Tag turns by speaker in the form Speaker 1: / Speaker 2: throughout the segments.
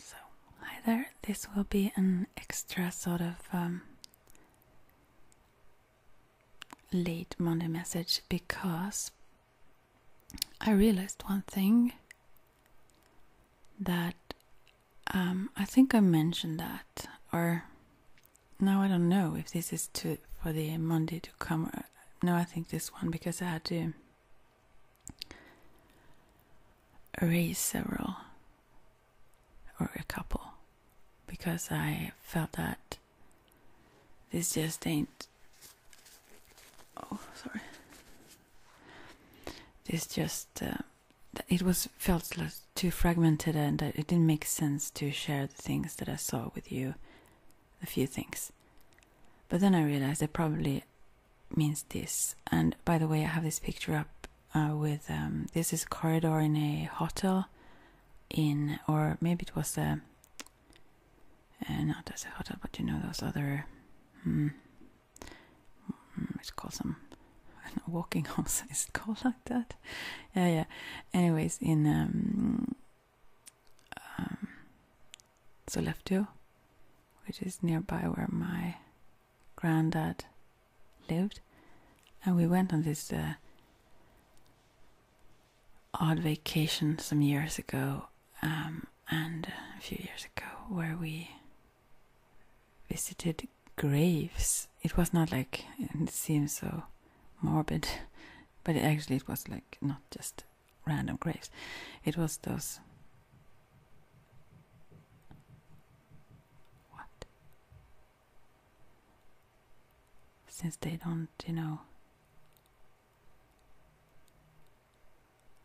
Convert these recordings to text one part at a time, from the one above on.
Speaker 1: So, hi there. This will be an extra sort of um, late Monday message because I realized one thing that um, I think I mentioned that, or now I don't know if this is to for the Monday to come. No, I think this one because I had to raise several or a couple because I felt that this just ain't oh sorry this just uh, it was felt too fragmented and it didn't make sense to share the things that I saw with you a few things but then I realized I probably means this. And by the way, I have this picture up uh, with um, this is corridor in a hotel, in or maybe it was a uh, not as a hotel, but you know those other. Hmm, hmm it's called some know, walking homes. Is it called like that? Yeah, yeah. Anyways, in um, um, Sollefteå, which is nearby where my granddad lived, and we went on this uh, odd vacation some years ago, um, and a few years ago, where we visited graves. It was not like it seems so morbid, but actually it was like not just random graves. It was those what? Since they don't, you know.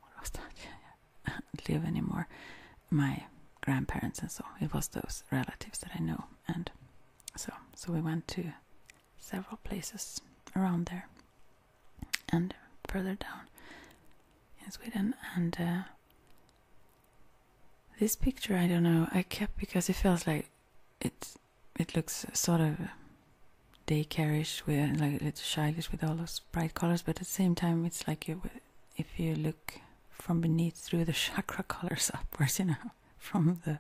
Speaker 1: What was that? Live anymore. My grandparents and so. It was those relatives that I know, and so so we went to several places around there and further down in Sweden. And uh, this picture, I don't know, I kept because it feels like it it looks sort of daycareish, with like a little childish with all those bright colors, but at the same time, it's like you, if you look from beneath through the chakra colors upwards, you know, from the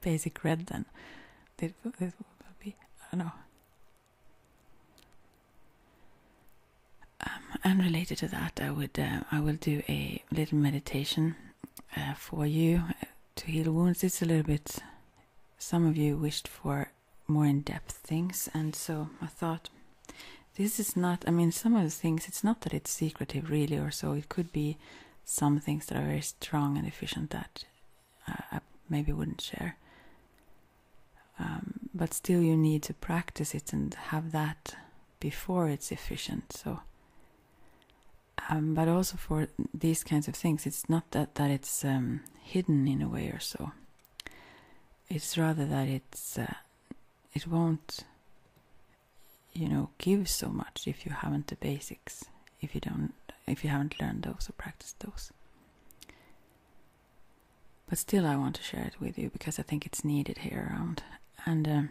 Speaker 1: basic red, then it, it will be I don't know. Um, and related to that, I would uh, I will do a little meditation uh, for you uh, to heal wounds. It's a little bit. Some of you wished for more in-depth things, and so I thought this is not. I mean, some of the things. It's not that it's secretive, really, or so. It could be some things that are very strong and efficient that I maybe wouldn't share. Um, but still you need to practice it and have that before it's efficient so um, but also for these kinds of things it's not that that it's um, hidden in a way or so it's rather that it's uh, it won't you know give so much if you haven't the basics if you don't if you haven't learned those or practiced those but still, I want to share it with you because I think it's needed here around. And um,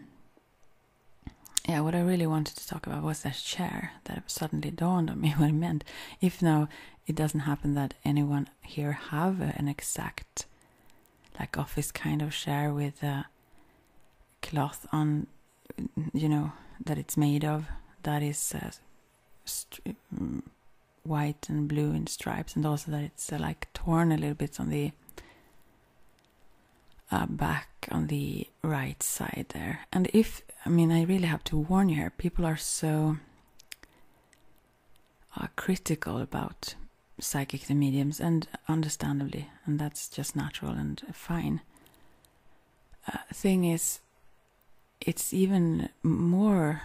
Speaker 1: yeah, what I really wanted to talk about was that chair that suddenly dawned on me what it meant. If now it doesn't happen that anyone here have an exact like office kind of chair with a cloth on, you know, that it's made of that is uh, mm, white and blue in stripes, and also that it's uh, like torn a little bit on the uh, back on the right side there. And if I mean, I really have to warn you here. People are so uh, critical about psychic mediums, and understandably, and that's just natural and fine. thing is, it's even more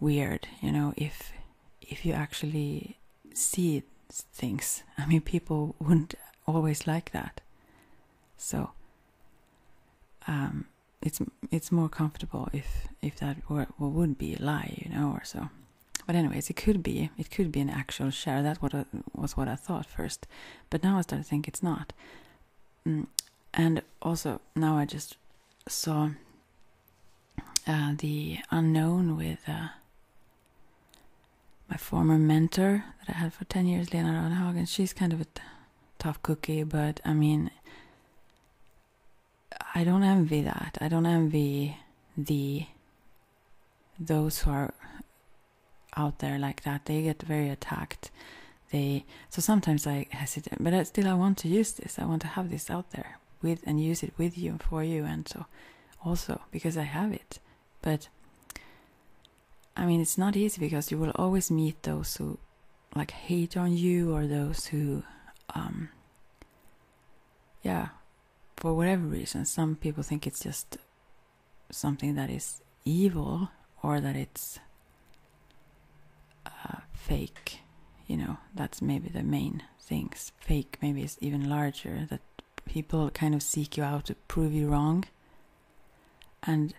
Speaker 1: weird, you know, if if you actually see things. I mean, people wouldn't always like that. So um, it's it's more comfortable if if that were, well, would be a lie, you know, or so. But anyways, it could be it could be an actual share. That what was what I thought first, but now I start to think it's not. Mm, and also now I just saw uh, the unknown with uh, my former mentor that I had for 10 years, Lena Ronhagen. She's kind of a tough cookie, but I mean, I don't envy that. I don't envy the those who are out there like that. They get very attacked. They so sometimes I hesitate, but I still I want to use this. I want to have this out there with and use it with you for you and so also because I have it. But I mean it's not easy because you will always meet those who like hate on you or those who um yeah for whatever reason some people think it's just something that is evil or that it's uh, fake. You know, that's maybe the main things. Fake maybe it's even larger that people kind of seek you out to prove you wrong. And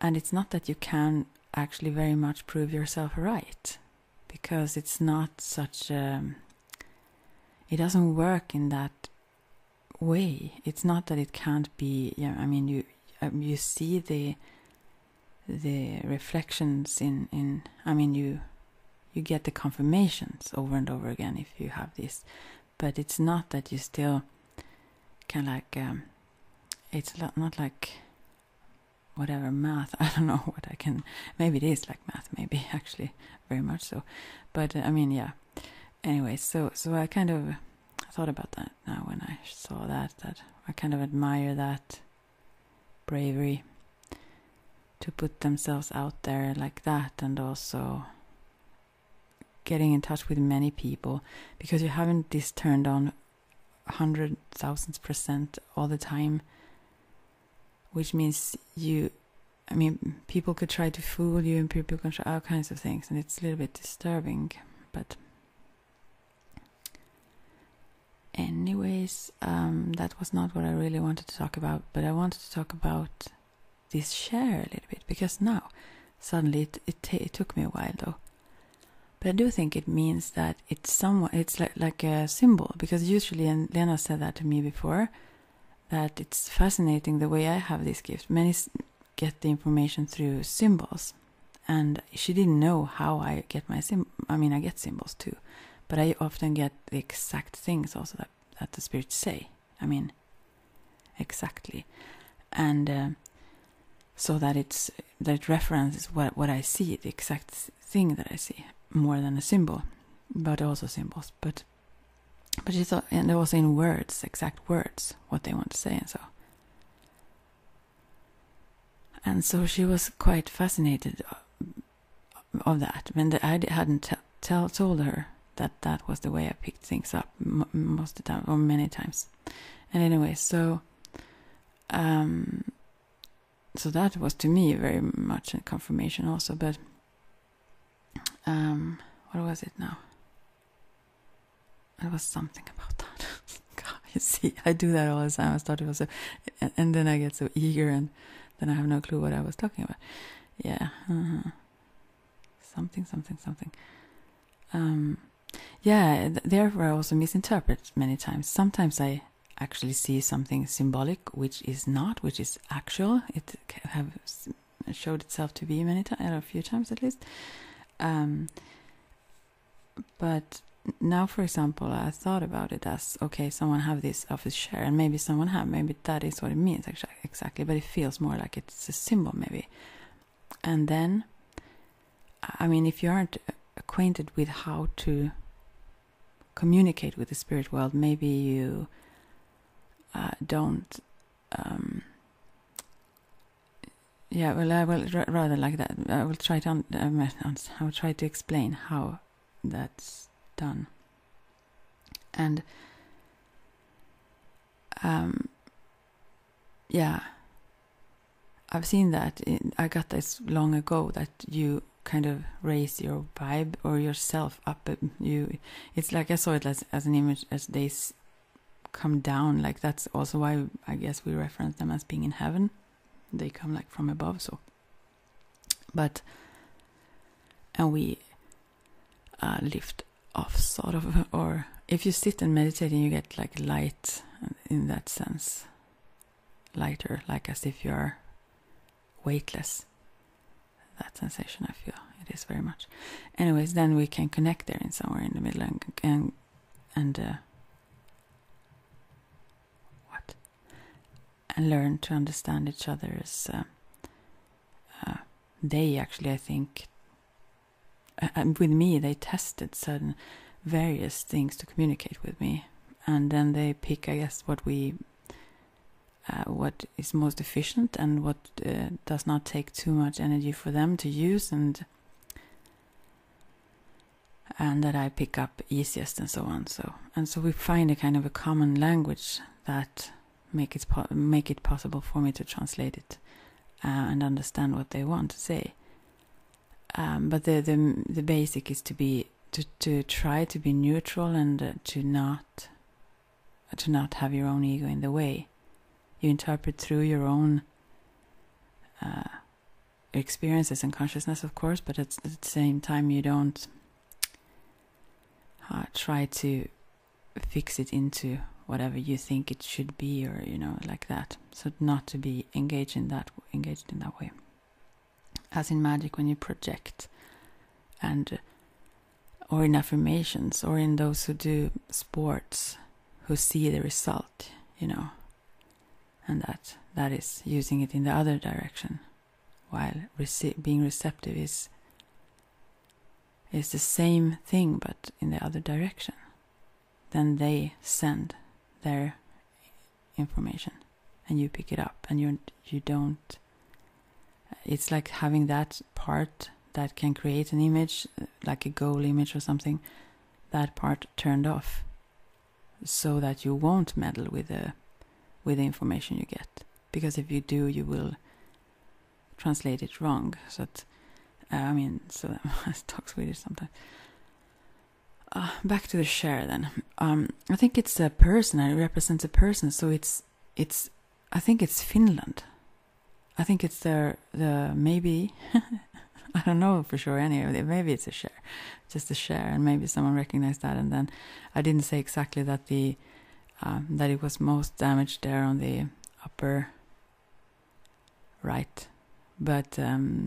Speaker 1: and it's not that you can actually very much prove yourself right because it's not such a it doesn't work in that way it's not that it can't be you know, i mean you um, you see the the reflections in in I mean you you get the confirmations over and over again if you have this, but it's not that you still kind of like um, it's not not like whatever math I don't know what I can maybe it is like math maybe actually very much so, but uh, I mean yeah anyway so so I kind of thought about that now when I saw that that I kind of admire that bravery to put themselves out there like that and also getting in touch with many people because you haven't this turned on hundred thousands percent all the time which means you i mean people could try to fool you and people can try all kinds of things and it's a little bit disturbing but Anyways, um, that was not what I really wanted to talk about, but I wanted to talk about this share a little bit because now suddenly it it, took me a while though. But I do think it means that it's somewhat it's like like a symbol because usually and Lena said that to me before that it's fascinating the way I have this gift. Many get the information through symbols, and she didn't know how I get my sim. I mean, I get symbols too, but I often get the exact things also that, that the spirits say. I mean, exactly. And uh, so that it's that it references what, what I see, the exact thing that I see, more than a symbol, but also symbols. But but it's all, and they also saying words, exact words, what they want to say, and so. And so she was quite fascinated uh, of that, when I hadn't told her that that was the way I picked things up most of the time or many times. And anyway, so um, so that was to me very much a confirmation also. But um, what was it now? It was something about that. God, you see, I do that all the time. I thought it was a, and, then I get so eager, and then I have no clue what I was talking about. Yeah, uh-huh. something, something, something. Um, yeah, therefore I also misinterpret many times. Sometimes I actually see something symbolic, which is not, which is actual. It have showed itself to be many times, a few times at least. Um, but now for example i thought about it as okay someone have this office chair and maybe someone have maybe that is what it means actually exactly but it feels more like it's a symbol maybe and then i mean if you aren't acquainted with how to communicate with the spirit world maybe you uh, don't um, yeah well i will rather like that i will try to um, I will try to explain how that's done. And um, yeah, I've seen that. I got this long ago that you kind of raise your vibe or yourself up. Um, you, it's like I saw it as an image as they come down. Like that's also why I guess we reference them as being in heaven. They come like from above, so but and we uh, lift off, sort of, or if you sit and meditate and you get like light in that sense, lighter, like as if you are weightless. That sensation, I feel it is very much. Anyways, then we can connect there in somewhere in the middle and and and uh, what and learn to understand each other's. as uh, uh, they actually i think uh, with me they tested certain various things to communicate with me and then they pick i guess what we what is most efficient and what does not take too much energy for them to use and and that I pick up easiest and so on. So and so we find a kind of a common language that make it make it possible for me to translate it uh, and understand what they want to say. Um, but the, the the basic is to be to to try to be neutral and uh, to not to not have your own ego in the way. You interpret through your own uh, experiences and consciousness, of course, but at the same time, you don't uh, try to fix it into whatever you think it should be or you know like that so not to be engaged in that engaged in that way as in magic when you project and or in affirmations or in those who do sports who see the result you know and that that is using it in the other direction while being receptive is is the same thing but in the other direction then they send their information and you pick it up and you you don't it's like having that part that can create an image like a goal image or something that part turned off so that you won't meddle with the with the information you get because if you do you will translate it wrong so uh, i mean so that i talk swedish sometimes uh, back to the share then um, i think it's a person it represents a person so it's it's i think it's finland i think it's the the maybe i don't know for sure anyway maybe it's a share just to share, and maybe someone recognized that. And then I didn't say exactly that the um, that it was most damaged there on the upper right, but um,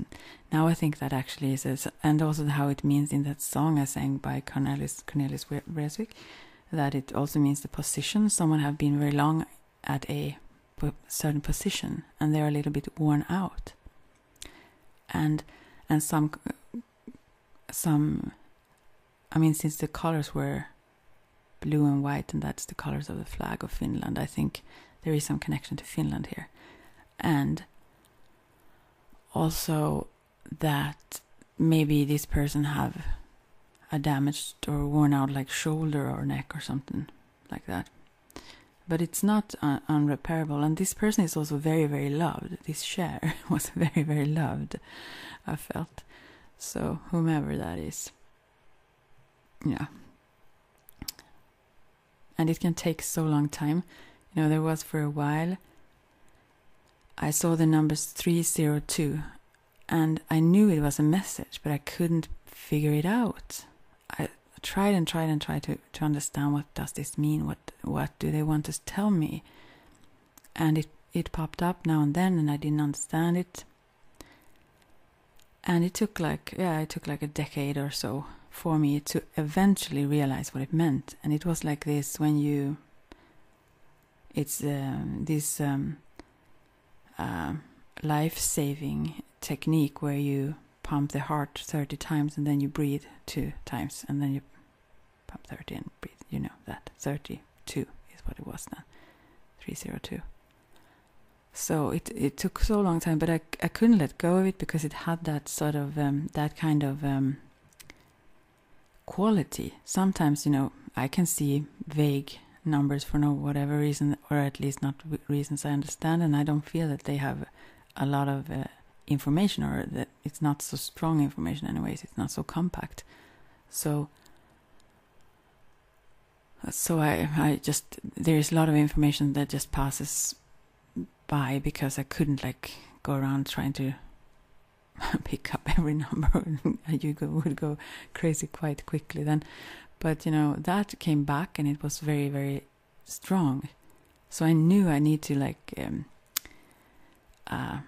Speaker 1: now I think that actually is, and also how it means in that song I sang by Cornelis Cornelis Vreeswijk, that it also means the position someone have been very long at a certain position and they're a little bit worn out and and some some I mean since the colors were blue and white and that's the colors of the flag of Finland, I think there is some connection to Finland here. And also that maybe this person have a damaged or worn out like shoulder or neck or something like that but it's not uh, unrepairable and this person is also very very loved this share was very, very loved, I felt. So, whomever that is. Yeah. And it can take so long time. You know, there was for a while. I saw the numbers 302 and I knew it was a message, but I couldn't figure it out. I tried and tried and tried to, to understand what does this mean? What what do they want to tell me and it it popped up now and then and I didn't understand it and it took like yeah it took like a decade or so for me to eventually realize what it meant and it was like this when you it's um, this um, uh, life-saving technique where you pump the heart 30 times and then you breathe two times and then you pump 30 and breathe. You know that. 32 is what it was then. 302. So it it took so long time, but I, I couldn't let go of it because it had that sort of um, that kind of um, quality. Sometimes you know I can see vague numbers for no whatever reason, or at least not reasons I understand, and I don't feel that they have a lot of uh, information or that it's not so strong information, anyways. It's not so compact. So, so I, I just there is a lot of information that just passes by because I couldn't like go around trying to pick up every number you go, would go crazy quite quickly then but you know that came back and it was very very strong so I knew I need to like um, uh,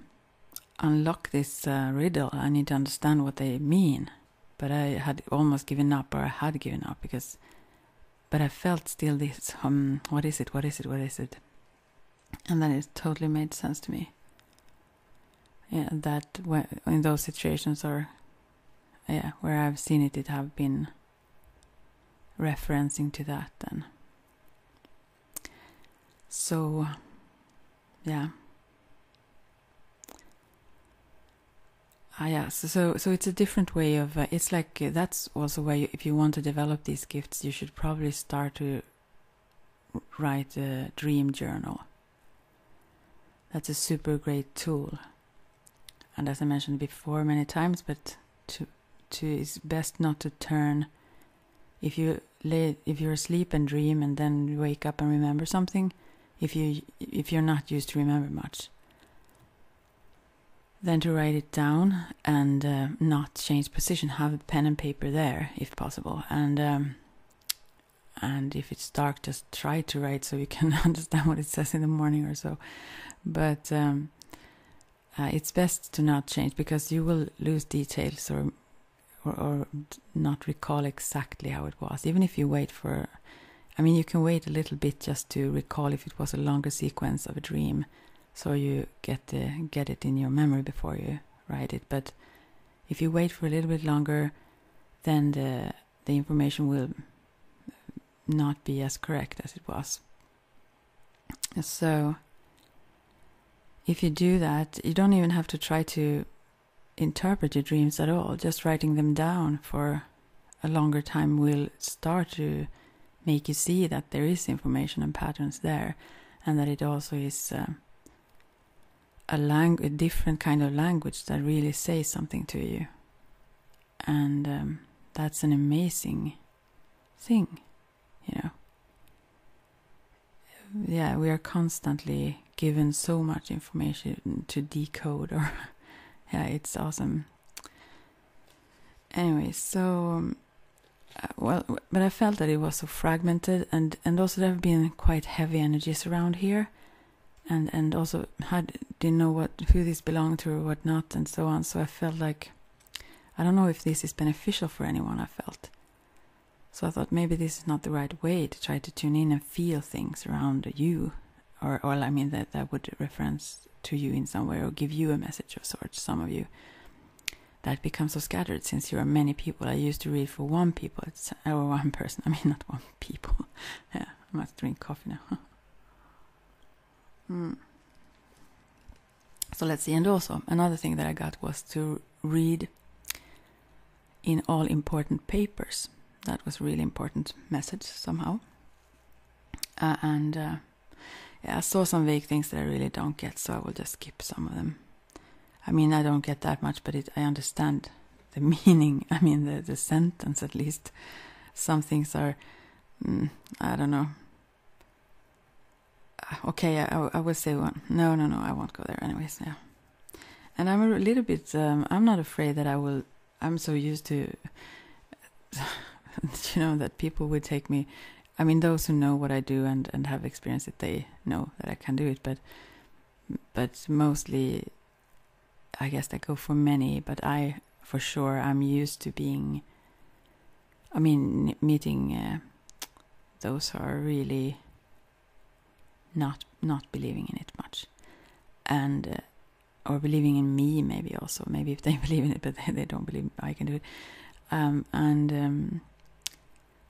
Speaker 1: unlock this uh, riddle. I need to understand what they mean. But I had almost given up, or I had given up because. But I felt still this um, what is it? What is it? What is it? And then it totally made sense to me. Yeah, that in those situations or yeah, where I've seen it, it have been referencing to that then. So, yeah. Ah, yeah. So, so, it's a different way of. Uh, it's like uh, that's also where, if you want to develop these gifts, you should probably start to write a dream journal. That's a super great tool. And as I mentioned before many times, but to to it's best not to turn if you lay if you're asleep and dream and then wake up and remember something if you if you're not used to remember much then to write it down and uh, not change position have a pen and paper there if possible and um, and if it's dark just try to write so you can understand what it says in the morning or so but um, uh, it's best to not change because you will lose details or, or, or not recall exactly how it was. Even if you wait for, I mean, you can wait a little bit just to recall if it was a longer sequence of a dream, so you get the, get it in your memory before you write it. But if you wait for a little bit longer, then the the information will not be as correct as it was. So, if you do that, you don't even have to try to interpret your dreams at all. Just writing them down for a longer time will start to make you see that there is information and patterns there, and that it also is uh, a language, a different kind of language that really says something to you, and um, that's an amazing thing you know yeah we are constantly given so much information to decode or yeah it's awesome anyway so um, uh, well but i felt that it was so fragmented and and also there have been quite heavy energies around here and and also had didn't know what who these belonged to or what not and so on so i felt like I don't know if this is beneficial for anyone, I felt. So I thought maybe this is not the right way to try to tune in and feel things around you, or, or I mean, that, that would reference to you in some way or give you a message of sorts, some of you. That becomes so scattered since you are many people. I used to read for one people, it's, or one person, I mean, not one people. yeah, I must drink coffee now. mm. So let's see. And also, another thing that I got was to read in all important papers. That was really important message somehow. Uh, and uh, I saw some vague things that I really don't get, so I will just skip some of them. I mean, I don't get that much, but I understand the meaning. I mean, the, sentence at least. Some things are, mm, I don't know, Ah, okay, I, will say one. No, no, no, I won't go there. Anyways, yeah. And I'm a little bit. Um, I'm not afraid that I will. I'm so used to, you know, that people would take me. I mean, those who know what I do and and have experience, that they know that I can do it. But, but mostly, I guess they go for many. But I, for sure, I'm used to being I mean, meeting uh, those are really not not believing in it much, and uh, or believing in me maybe also maybe if they believe in it but they, don't believe I can do it, um, and um,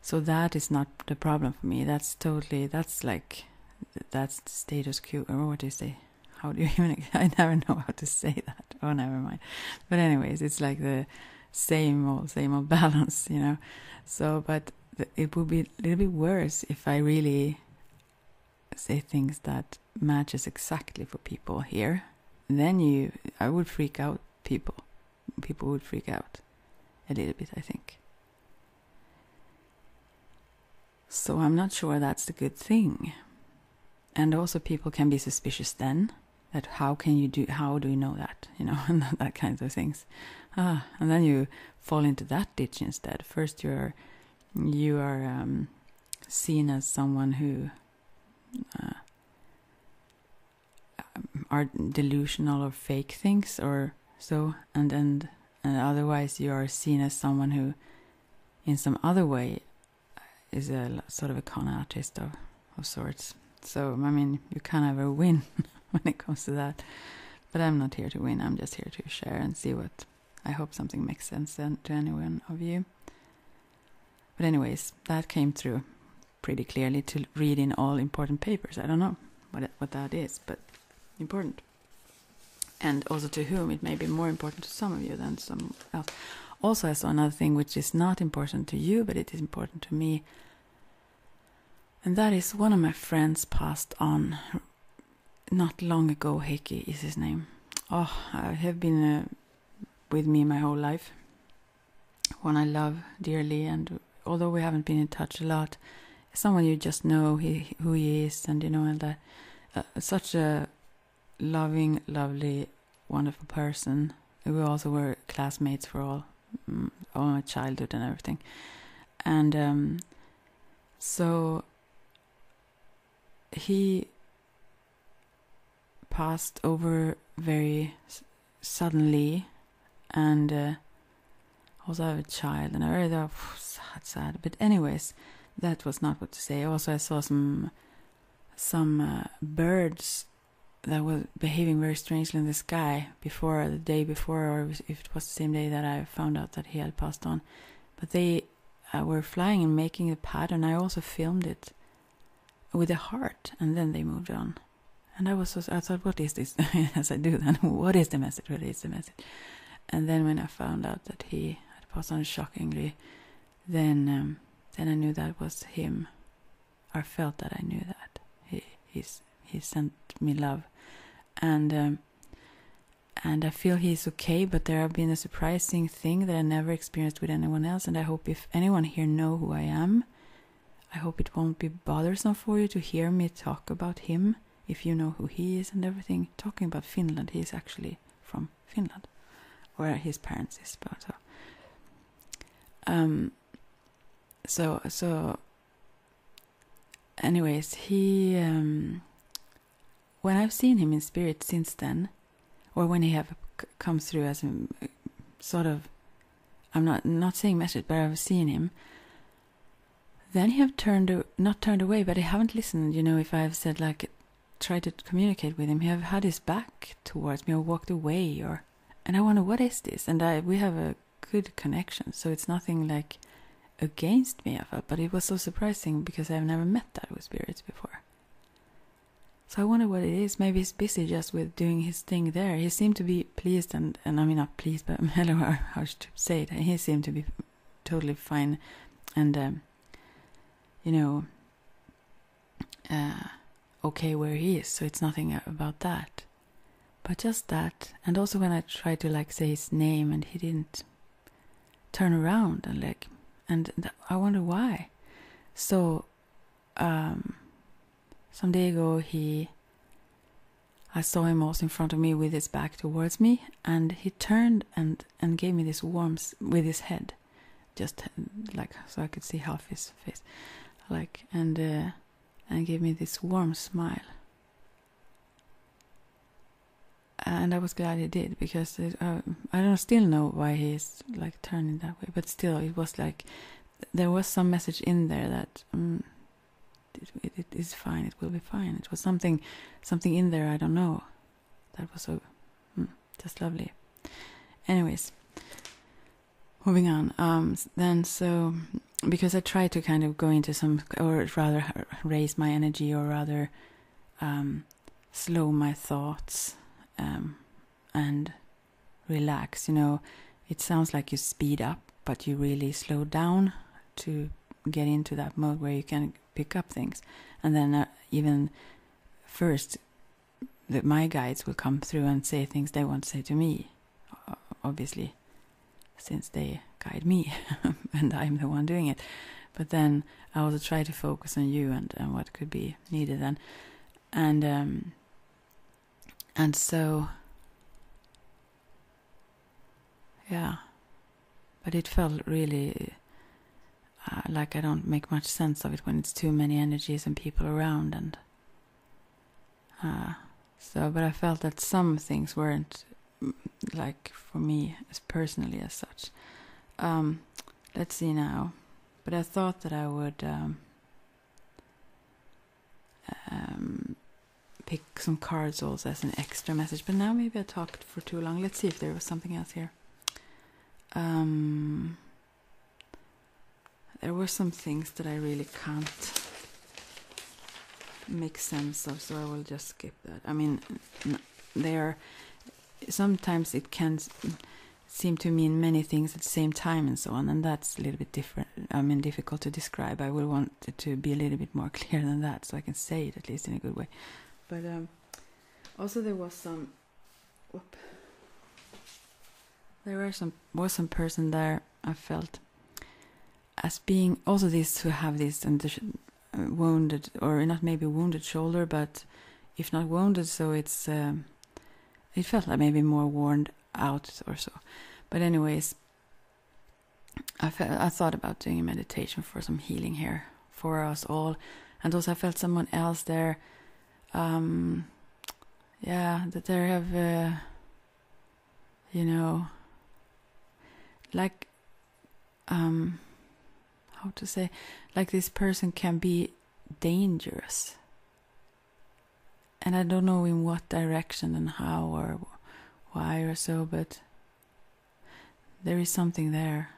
Speaker 1: so that is not the problem for me. That's totally that's like that's status quo or oh, what is they how do you even I never know how to say that. Oh, never mind. But anyways, it's like the same old, same old balance, you know. So, but it would be a little bit worse if I really say things that matches exactly for people here. Then you, I would freak out people. People would freak out a little bit, I think. So I'm not sure that's the good thing. And also, people can be suspicious then that how can you do how do you know that you know that kinds of things ah and then you fall into that ditch instead first you're you are um, seen as someone who uh, um, are delusional or fake things or so and and and otherwise you are seen as someone who in some other way is a sort of a con artist or of sorts. So, I mean, you can't ever win when it comes to that. But I'm not here to win, I'm just here to share and see what I hope something makes sense to anyone of you. But, anyways, that came through pretty clearly to read in all important papers. I don't know what, what that is, but important. And also to whom it may be more important to some of you than some else. Also, I saw another thing which is not important to you, but it is important to me and that is one of my friends passed on not long ago. Heikki is his name. Oh, I have been uh, with me my whole life. One I love dearly, and although we haven't been in touch a lot, someone you just know who he is, and you know, and uh, uh, such a loving, lovely wonderful person. We also were classmates for all mm, all my childhood and everything, and um, so he passed over very suddenly, and uh, I was a child, and I really thought oh, sad, sad. But anyways, that was not what to say. Also, I saw some some uh, birds that was behaving very strangely in the sky before the day before, or if it was the same day that I found out that he had passed on. But they uh, were flying and making a pattern. I also filmed it with a heart, and then they moved on. And I was, so, I thought, what is this? As I do then, what is the message? What is the message? And then when I found out that he had passed on shockingly, then um, then I knew that was him I felt that I knew that he he's he sent me love, and um, and I feel he's okay. But there have been a surprising thing that I never experienced with anyone else, and I hope if anyone here know who I am, I hope it won't be bothersome for you to hear me talk about him. If you know who he is and everything, talking about Finland, he is actually from Finland, where his parents is, but. Uh, um, so so anyways he um when i've seen him in spirit since then or when he have come through as a um, sort of i'm not not saying message but i've seen him then he have turned not turned away but he haven't listened you know if i've said like tried to communicate with him he have had his back towards me or walked away or and I wonder what is this, and I we have a good connection, so it's nothing like against me. I felt, but it was so surprising because I've never met that with spirits before. So I wonder what it is. Maybe he's busy just with doing his thing there. He seemed to be pleased, and, and I mean not pleased, but I don't know how to say it. He seemed to be totally fine, and um, you know, uh, okay where he is, so it's nothing about that. But just that, and also when I tried to like say his name and he didn't turn around and like, and I wonder why. So, um, some day ago he, I saw him almost in front of me with his back towards me, and he turned and and gave me this warmth with his head, just like so I could see half his face, like and. Uh, and gave me this warm smile. And I was glad he did because it, uh, I don't still know why he's like turning that way, but still it was like there was some message in there that mm, it, it is fine, it will be fine. It was something, something in there I don't know. That was so mm, just lovely. Anyways, moving on um, then so because i try to kind of go into some or rather raise my energy or rather um, slow my thoughts um, and relax you know it sounds like you speed up but you really slow down to get into that mode where you can pick up things and then uh, even first that my guides will come through and say things they won't say to me uh, obviously since they guide me and i'm the one doing it but then i also try to focus on you and, what could be needed then, and um, and so yeah but it felt really uh, like i don't make much sense of it when it's too many energies and people around and uh, so, but I felt that some things weren't mm, like for me as personally as such. Um, let's see now. But I thought that I would um, um, pick some cards also as an extra message. But now maybe I talked for too long. Let's see if there was something else here there were some things that I really can't make sense of, so I will just skip that. I mean, there. are sometimes it can seem to mean many things at the same time and so on, and that's a little bit different. I mean, difficult to describe. I will want it to be a little bit more clear than that, so I can say it at least in a good way. But um, also, there was some. there were some was some person there I felt as being also this who have this and the uh, wounded or not maybe wounded shoulder, but if not wounded, so it's um, it felt like maybe more worn out or so. But anyways, I felt I thought about doing a meditation for some healing here for us all, and also I felt someone else there. Um, yeah, that there have. Uh, you know like um how to say like this person can be dangerous and i don't know in what direction and how or why or so but there is something there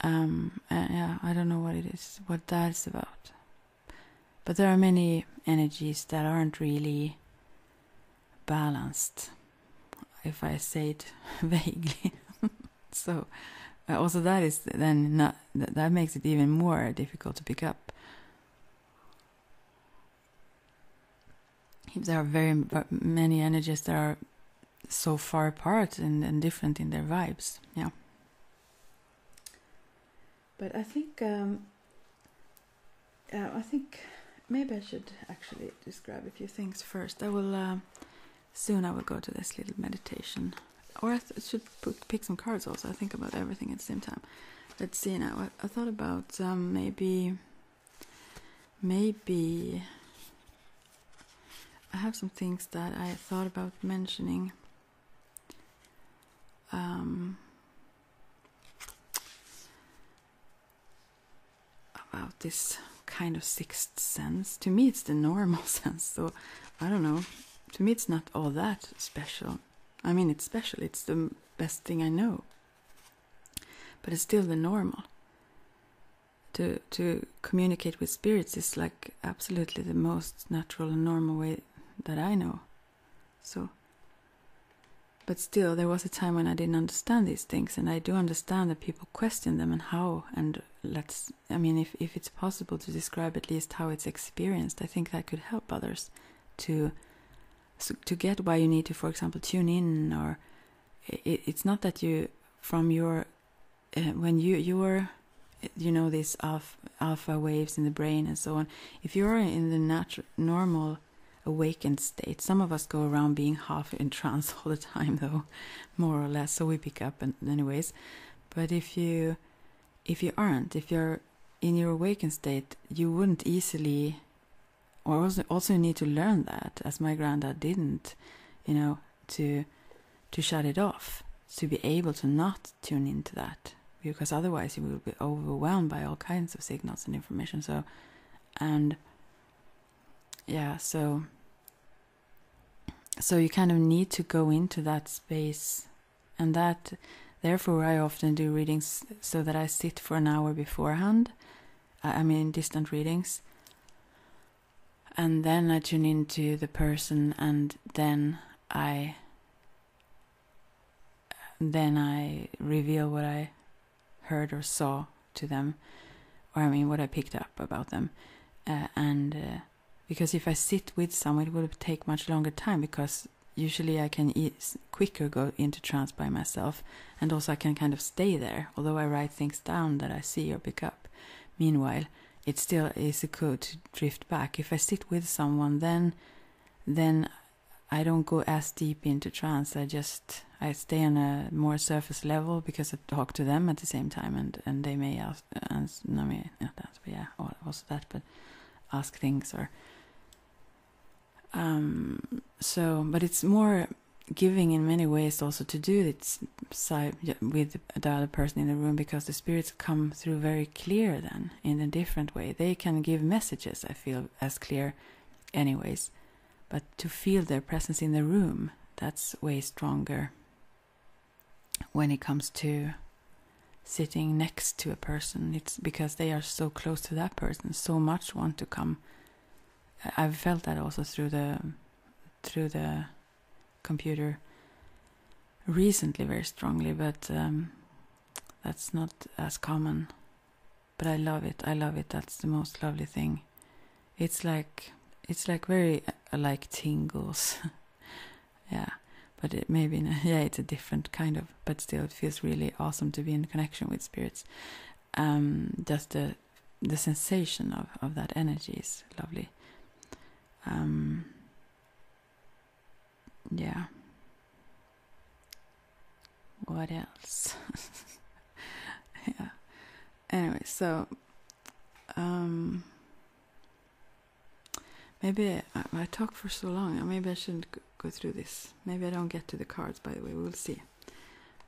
Speaker 1: um yeah i don't know what it is what that's about but there are many energies that aren't really balanced, if I say it vaguely. so, uh, also that is then not, that makes it even more difficult to pick up. there are very uh, many energies that are so far apart and, and different in their vibes, yeah. But I think um, uh, I think maybe I should actually describe a few things first. I will uh, soon. I will go to this little meditation, or I should pick some cards. Also, I think about everything at the same time. Let's see now. I, thought about um, maybe, maybe I have some things that I thought about mentioning um, about this kind of sixth sense. To me, it's the normal sense, so I don't know. To me, it's not all that special. I mean, it's special, it's the best thing I know, but it's still the normal. To, to communicate with spirits is like absolutely the most natural and normal way that I know. So, but still, there was a time when I didn't understand these things, and I do understand that people question them and how. And let's, I mean, if, if it's possible to describe at least how it's experienced, I think that could help others to to get why you need to, for example, tune in. Or it's not that you, from your, uh, when you you your you know these alpha, waves in the brain and so on if you're in the natural normal awakened state some of us go around being half in trance all the time though more or less so we pick up and anyways but if you if you aren't if you're in your awakened state you wouldn't easily or also also need to learn that as my granddad didn't you know to to shut it off to be able to not tune into that because otherwise you will be overwhelmed by all kinds of signals and information. So, and yeah, so so you kind of need to go into that space, and that therefore I often do readings so that I sit for an hour beforehand. I mean, distant readings. And then I tune into the person, and then I then I reveal what I heard or saw to them, or I mean, what I picked up about them. Uh, and uh, because if I sit with some, it would take much longer time because usually I can quicker go into trance by myself, and also I can kind of stay there, although I write things down that I see or pick up. Meanwhile, it still is a code to drift back. If I sit with someone, then then I don't go as deep into trance. I just I stay on a more surface level because I talk to them at the same time, and and they may ask, no, me not that, but yeah, or also that, but ask things or um so but it's more giving in many ways also to do it side with the other person in the room because the spirits come through very clear then in a different way. They can give messages, I feel, as clear, anyways. But to feel their presence in the room, that's way stronger when it comes to sitting next to a person. It's because they are so close to that person, so much want to come. I've felt that also through the through the computer recently very strongly, but um, that's not as common. But I love it. I love it. That's the most lovely thing. It's like it's like very uh, like tingles. yeah, but it maybe in yeah, it's a different kind of. But still, it feels really awesome to be in connection with spirits. Um, just the the sensation of of that energy is lovely. Um, yeah. What else? yeah. Anyway, so um maybe I, talked for so long. Uh, maybe I shouldn't go through this. Maybe I don't get to the cards. By the way, we'll see.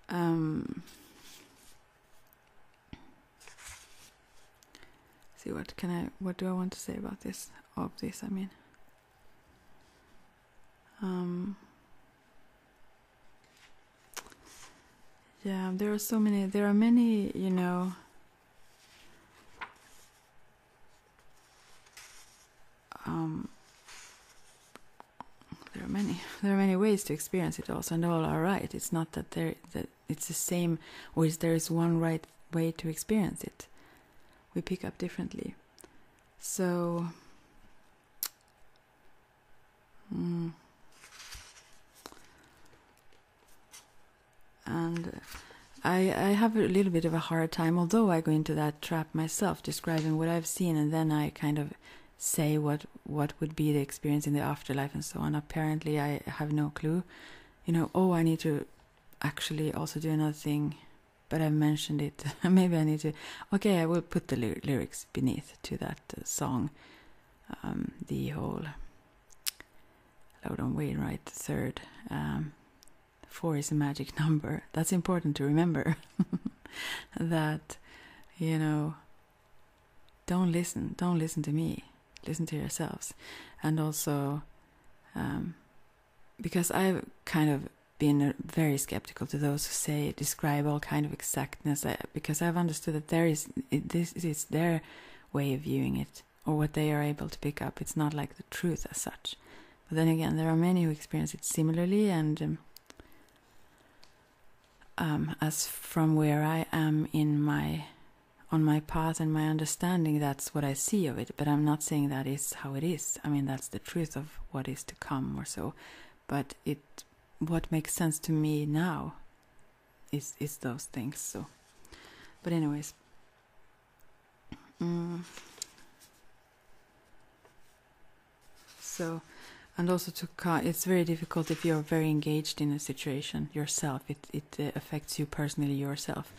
Speaker 1: Um see what can I what do I want to say about this of this I mean um, yeah there are so many there are many you know um, there are many there are many ways to experience it also and all are right it's not that there that it's the same or is there is one right way to experience it we pick up differently. So, mm. and I, I have a little bit of a hard time, although I go into that trap myself, describing what I've seen, and then I kind of say what what would be the experience in the afterlife and so on. Apparently, I have no clue. You know, oh, I need to actually also do another thing, but I mentioned it. Maybe I need to. Okay, I will put the lyrics beneath to that uh, song. Um, the whole load on Wainwright third. Um, four is a magic number. That's important to remember. that, you know, don't listen. Don't listen to me. Listen to yourselves. And also, um, because I've kind of been uh, very skeptical to those who say describe all kind of exactness uh, because I've understood that there is this is their way of viewing it or what they are able to pick up. It's not like the truth as such. But then again, there are many who experience it similarly, and um, um, as from where I am in my on my path and my understanding, that's what I see of it. But I'm not saying that is how it is. I mean, that's the truth of what is to come or so. But it, what makes sense to me now, is is those things. So, but anyways. Mm. So, and also to it's very difficult if you're very engaged in a situation yourself. It it uh, affects you personally yourself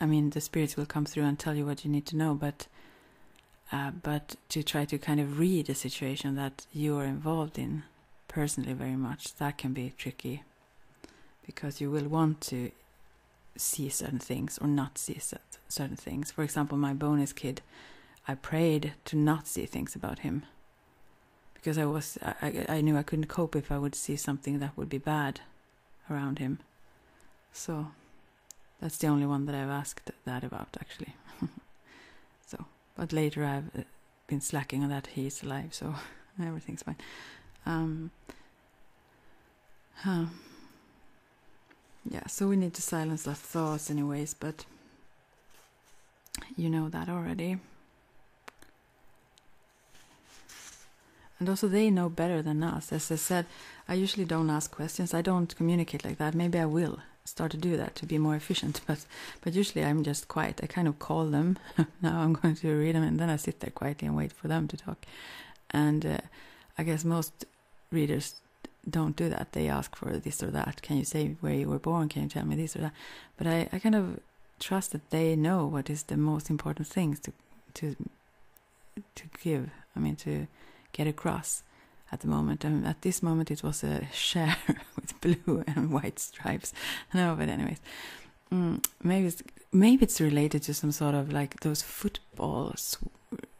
Speaker 1: I mean, the spirits will come through and tell you what you need to know, but uh, but to try to kind of read the situation that you are involved in personally very much, that can be tricky because you will want to see certain things or not see certain things. For example, my bonus kid, I prayed to not see things about him because I was I, I knew I couldn't cope if I would see something that would be bad around him. So that's the only one that I've asked that about, actually. so, but later I've uh, been slacking on that. He's alive, so everything's fine. Um, yeah, so we need to silence our thoughts, anyways, but you know that already. And also, they know better than us. As I said, I usually don't ask questions. I don't communicate like that. Maybe I will start to do that to be more efficient. But but usually I'm just quiet. I kind of call them. now I'm going to read them, and then I sit there quietly and wait for them to talk. And uh, I guess most readers don't do that. They ask for this or that. Can you say where you were born? Can you tell me this or that? But I, I kind of trust that they know what is the most important things to to to give. I mean to get across at the moment. And at this moment, it was a share with blue and white stripes. No, but anyways, mm, maybe it's, maybe it's related to some sort of like those football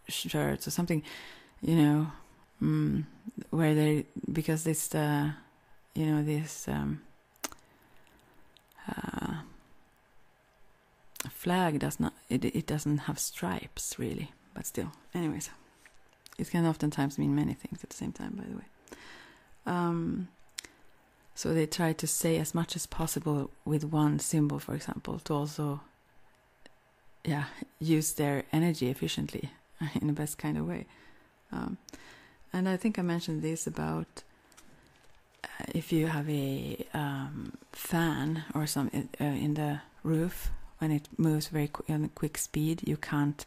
Speaker 1: shirts or something, you know, mm, where they because it's the uh, you know this um, uh, flag does not it, doesn't have stripes really but still anyways it can oftentimes mean many things at the same time by the way um, so they try to say as much as possible with one symbol for example to also yeah use their energy efficiently in the best kind of way um, and i think i mentioned this about uh, if you have a um, fan or some uh, in the roof when it moves very qu in quick speed, you can't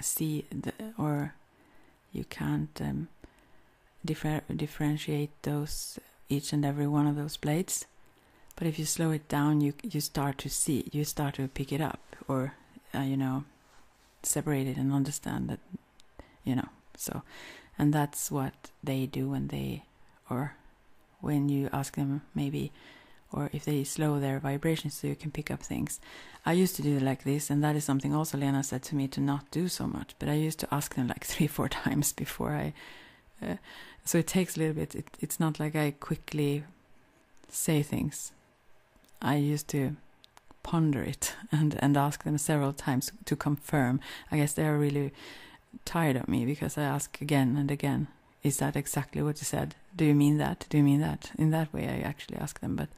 Speaker 1: see the or you can't um, differ differentiate those each and every one of those blades. But if you slow it down, you you start to see, you start to pick it up, or uh, you know, separate it and understand that you know so and that's what they do when they or when you ask them maybe or if they slow their vibrations so you can pick up things i used to do it like this and that is something also lena said to me to not do so much but i used to ask them like three four times before i uh, so it takes a little bit it's not like i quickly say things i used to ponder it and and ask them several times to come Firm. I guess they are really tired of me because I ask again and again, is that exactly what you said? Do you mean that? Do you mean that? In that way, I actually ask them, but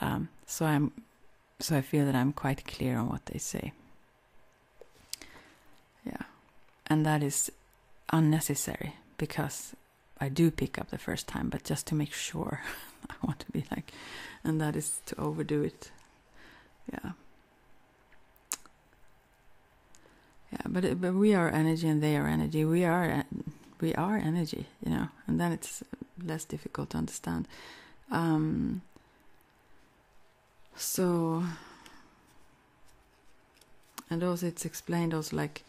Speaker 1: um, so I'm so I feel that I'm quite clear on what they say. Yeah, and that is unnecessary because I do pick up the first time, but just to make sure, I want to be like, and that is to overdo it yeah yeah but, but we are energy and they are energy we are we are energy you know and then it's less difficult to understand um, so and also it's explained also like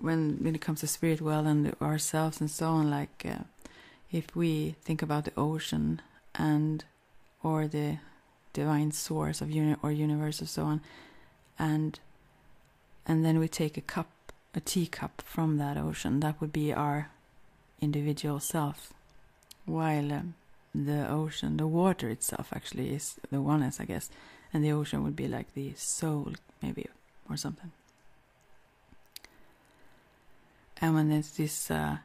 Speaker 1: when when it comes to spirit well and ourselves and so on like uh, if we think about the ocean and or the divine source of unit or universe or so on and and then we take a cup a teacup from that ocean that would be our individual self while um, the ocean the water itself actually is the oneness i guess and the ocean would be like the soul maybe or something and when it's this uh,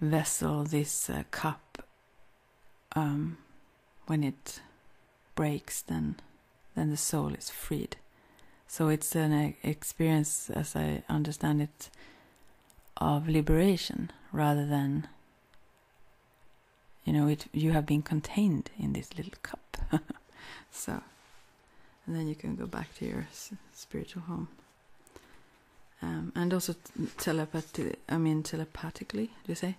Speaker 1: vessel, this uh, cup, um, when it breaks, then then the soul is freed. So it's an experience, as I understand it, of liberation rather than you know You have been contained in this little cup, so and then you can go back to your spiritual home. Um, and also telepathy. I mean, telepathically, you say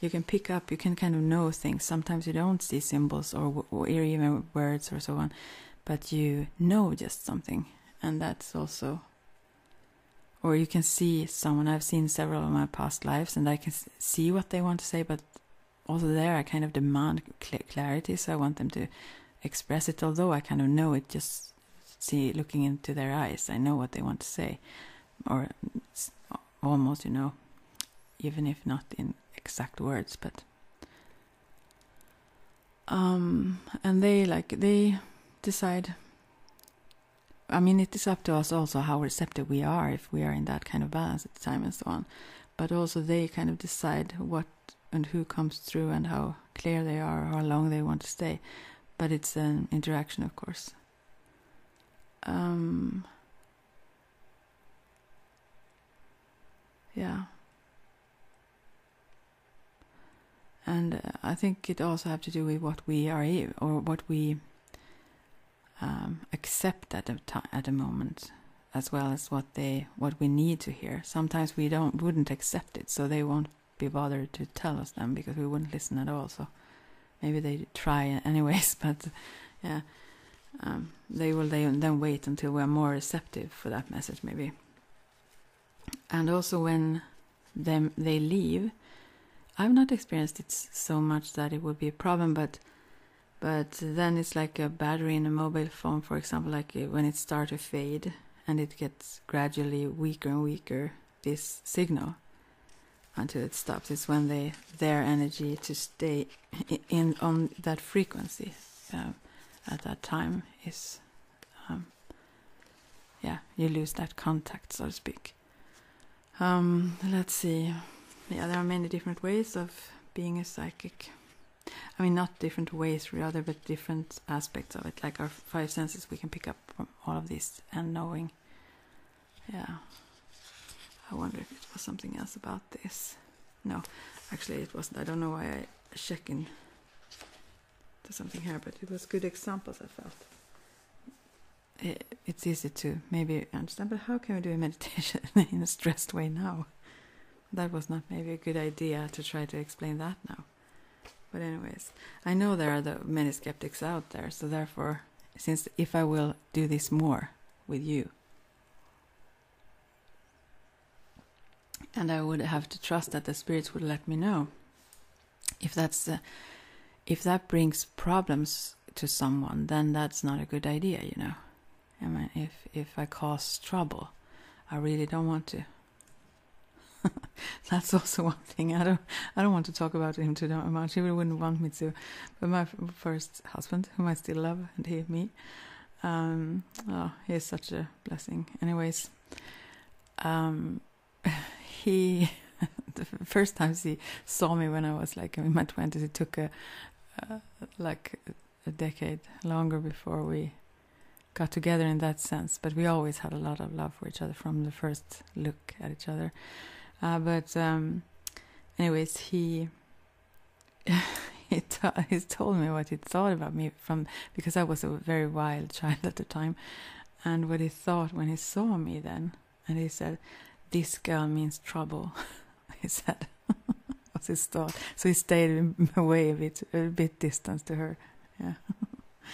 Speaker 1: you can pick up, you can kind of know things. Sometimes you don't see symbols or, or even words or so on, but you know just something, and that's also. Or you can see someone. I've seen several of my past lives, and I can see what they want to say, but also there I kind of demand clarity, so I want them to express it. Although I kind of know it just see looking into their eyes. I know what they want to say, or almost, you know, even if not in exact words, but. Um, and they like they decide. I mean, it is up to us also how receptive we are if we are in that kind of balance at the time and so on, but also they kind of decide what and who comes through and how clear they are, how long they want to stay. But it's an interaction, of course. Um, yeah. And uh, I think it also have to do with what we are or what we um, accept at the at the moment, as well as what they what we need to hear. Sometimes we don't wouldn't accept it, so they won't be bothered to tell us them because we wouldn't listen at all. So maybe they try anyways, but yeah, um, they will they then wait until we're more receptive for that message maybe. And also when them they leave, I've not experienced it so much that it would be a problem, but but then it's like a battery in a mobile phone, for example, like eh, when it starts to fade and it gets gradually weaker and weaker this signal until it stops it's when they their energy to stay in on that frequency um, at that time is um, yeah you lose that contact so to speak um, let's see yeah there are many different ways of being a psychic I mean, not different ways, rather, but different aspects of it. Like our five senses, we can pick up from all of this and knowing. Yeah. I wonder if it was something else about this. No, actually, it wasn't. I don't know why I checked in something here, but it was good examples, I felt. it's easy to maybe understand, but how can we do a meditation in a stressed way now? That was not maybe a good idea to try to explain that now. But anyways, I know there are many skeptics out there, so therefore, since if I will do this more with you, and I would have to trust that the spirits would let me know if that's uh, if that brings problems to someone, then that's not a good idea, you know. I mean, if if I cause trouble, I really don't want to. That's also one thing I don't I don't want to talk about him too much. He wouldn't want me to. But my first husband, whom I still love, and he me, um, oh, he such a blessing. Anyways, um, he the first time he saw me when I was like in my twenties, it took like a decade longer before we got together in that sense. But we always had a lot of love for each other from the first look at each other. Uh, but um, anyways, he he, t- told me what he thought about me from because I was a very wild child at the time, and what he thought when he saw me then, and he said, "This girl means trouble," he said. was his thought, so he stayed away a bit, a bit distance to her yeah.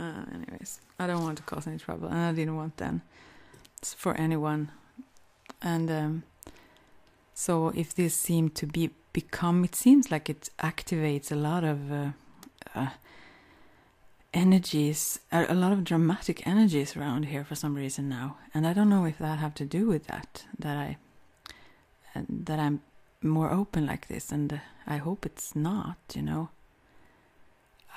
Speaker 1: Uh, anyways, I don't want to cause any trouble, and I didn't want then for anyone. And um, so, if this seemed to be become, it seems like it activates a lot of uh, uh, energies, a lot of dramatic energies around here for some reason now, and I don't know if that have to do with that that I that I'm more open like this, and uh, I hope it's not, you know.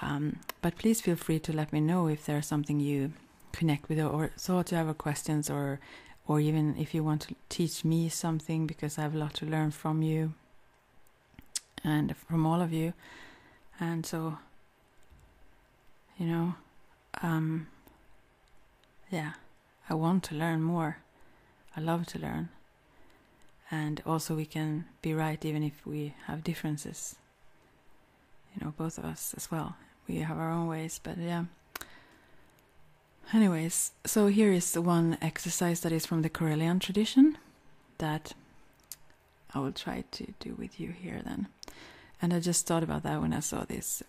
Speaker 1: Um, but please feel free to let me know if there's something you connect with or thought you have questions or or even if you want to teach me something because I have a lot to learn from you and from all of you. And so, you know, um, yeah, I want to learn more. I love to learn and also we can be right even if we have differences you know both of us as well we have our own ways but yeah anyways so here is one exercise that is from the Karelian tradition that I will try to do with you here then and I just thought about that when I saw this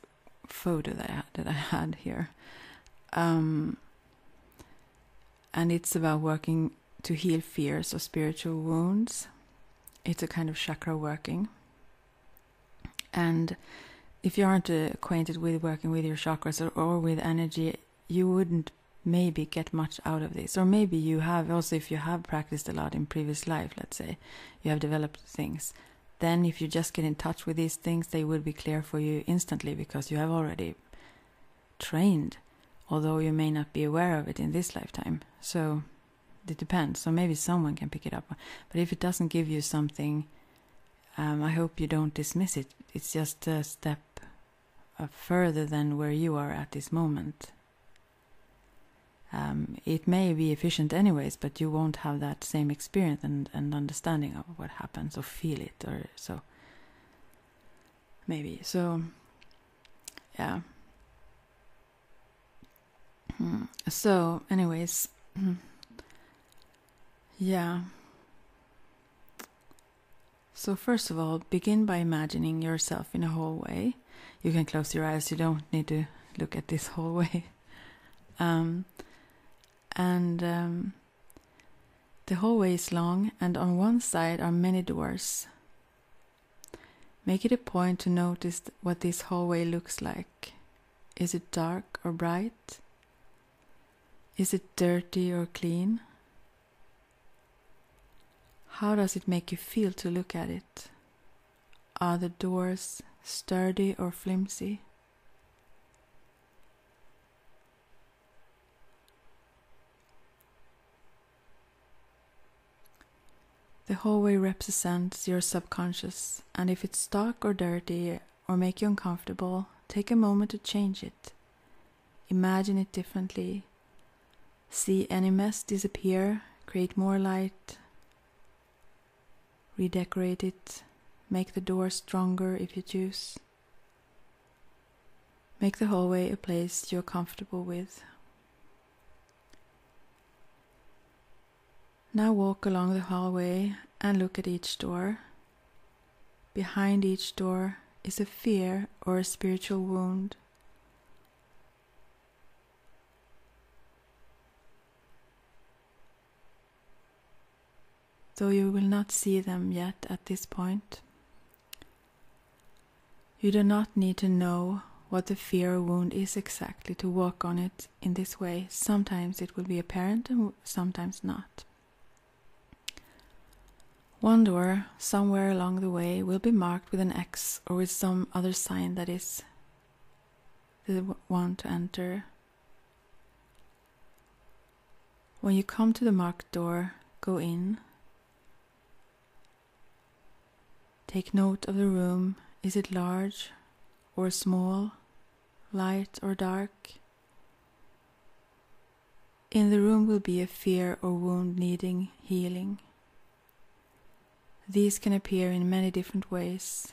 Speaker 1: photo that I, that I had here um, and it's about working to heal fears or spiritual wounds. It's a kind of chakra working. And if you aren't acquainted with working with your chakras or, with energy, you wouldn't maybe get much out of this. Or maybe you have, also, if you have practiced a lot in previous life, let's say, you have developed things. Then, if you just get in touch with these things, they will be clear for you instantly because you have already trained, although you may not be aware of it in this lifetime. So it depends. So maybe someone can pick it up. But if it doesn't give you something, um, I hope you don't dismiss it. It's just a step uh, further than where you are at this moment. Um, it may be efficient anyways, but you won't have that same experience and understanding of what happens or feel it or so. Maybe. So, yeah. Hmm. So, anyways, yeah. So, first of all, begin by imagining yourself in a hallway. You can close your eyes, you don't need to look at this hallway. Um, and um, the hallway is long, and on one side are many doors. Make it a point to notice what this hallway looks like. Is it dark or bright? Is it dirty or clean? How does it make you feel to look at it? Are the doors sturdy or flimsy? The hallway represents your subconscious, and if it's dark or dirty or makes you uncomfortable, take a moment to change it. Imagine it differently. See any mess disappear, create more light, redecorate it, make the door stronger if you choose. Make the hallway a place you're comfortable with. Now walk along the hallway and look at each door. Behind each door is a fear or a spiritual wound though you will not see them yet at this point. You do not need to know what a fear wound is exactly to walk on it in this way. Sometimes it will be apparent and sometimes not. One door somewhere along the way will be marked with an X or with some other sign that is the one to enter. When you come to the marked door, go in. Take note of the room. Is it large or small, light or dark? In the room will be a fear or wound needing healing. These can appear in many different ways,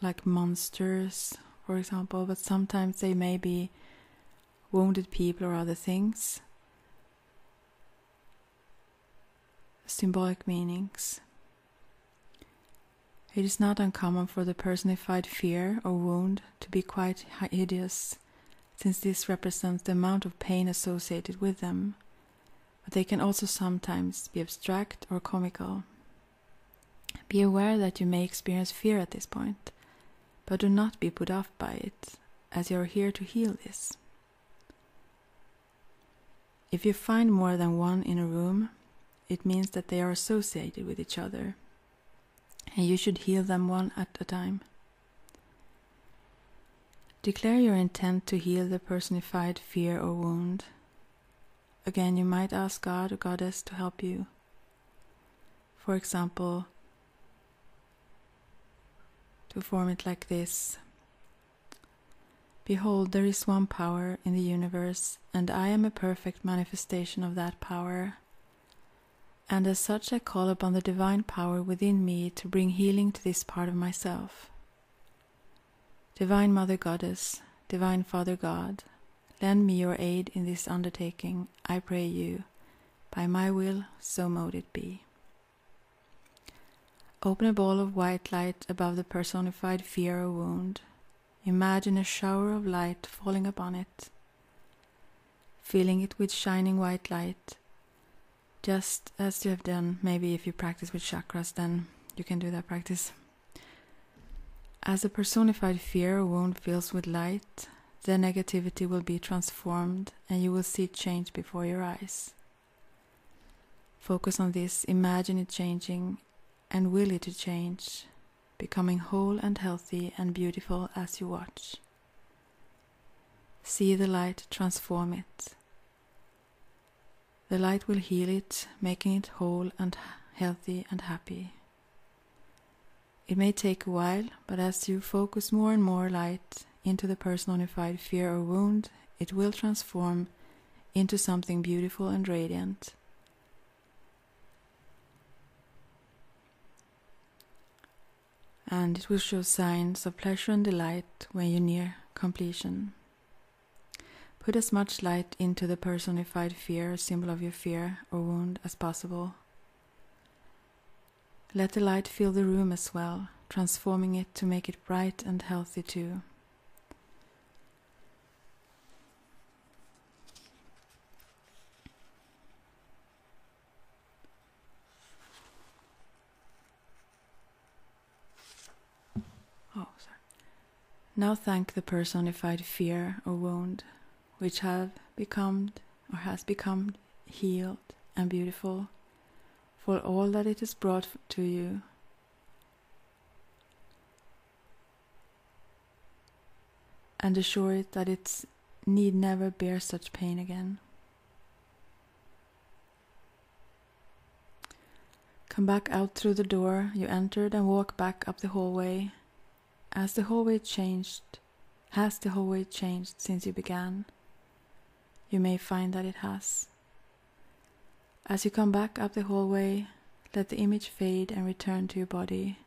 Speaker 1: like monsters, for example, but sometimes they may be wounded people or other things, symbolic meanings. It is not uncommon for the personified fear or wound to be quite hideous, since this represents the amount of pain associated with them, but they can also sometimes be abstract or comical. Be aware that you may experience fear at this point, but do not be put off by it, as you are here to heal this. If you find more than one in a room, it means that they are associated with each other, and you should heal them one at a time. Declare your intent to heal the personified fear or wound. Again, you might ask God or Goddess to help you for example, to form it like this Behold, there is one power in the universe, and I am a perfect manifestation of that power. And as such, I call upon the divine power within me to bring healing to this part of myself. Divine Mother Goddess, Divine Father God, Lend me your aid in this undertaking, I pray you. By my will, so mote it be. Open a ball of white light above the personified fear or wound. Imagine a shower of light falling upon it, filling it with shining white light. Just as you have done, maybe if you practice with chakras, then you can do that practice. As the personified fear or wound fills with light, the negativity will be transformed and you will see change before your eyes. Focus on this, imagine it changing and will it to change, becoming whole and healthy and beautiful as you watch. See the light transform it. The light will heal it, making it whole and healthy and happy. It may take a while, but as you focus more and more light into the personified fear or wound, it will transform into something beautiful and radiant. And it will show signs of pleasure and delight when you near completion. Put as much light into the personified fear, symbol of your fear or wound, as possible. Let the light fill the room as well, transforming it to make it bright and healthy too. Oh, sorry. Now thank the personified fear or wound, which have become or has become healed and beautiful for all that it has brought to you. And assure it that it need never bear such pain again. Come back out through the door you entered and walk back up the hallway as the hallway changed, has the hallway changed since you began? You may find that it has. As you come back up the hallway, let the image fade and return to your body.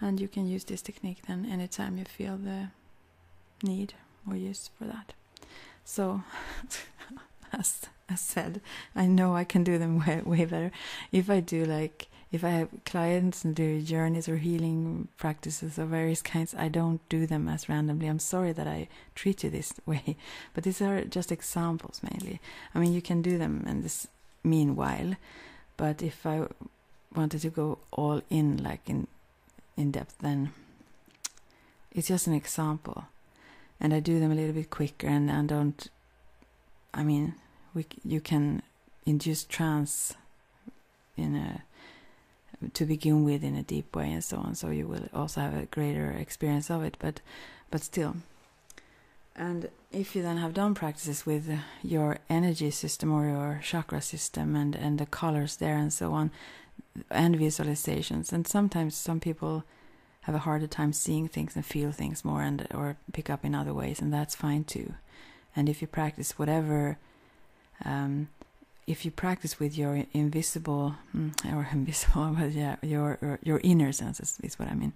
Speaker 1: And you can use this technique then anytime you feel the need or use for that. So, as I said, I know I can do them way better. If I do like if I have clients and do journeys or healing practices of various kinds, I don't do them as randomly. I'm sorry that I treat you this way, but these are just examples mainly. I mean, you can do them in this meanwhile, but if I wanted to go all in, like in in depth, then it's just an example, and I do them a little bit quicker, and I don't. I mean, we you can Induce trance in a to begin with in a deep way and so on so you will also have a greater experience of it but but still and if you then have done practices with your energy system or your chakra system and and the colors there and so on and visualizations and sometimes some people have a harder time seeing things and feel things more and or pick up in other ways and that's fine too and if you practice whatever um, if you practice with your invisible mm, or invisible but yeah your your inner senses is what i mean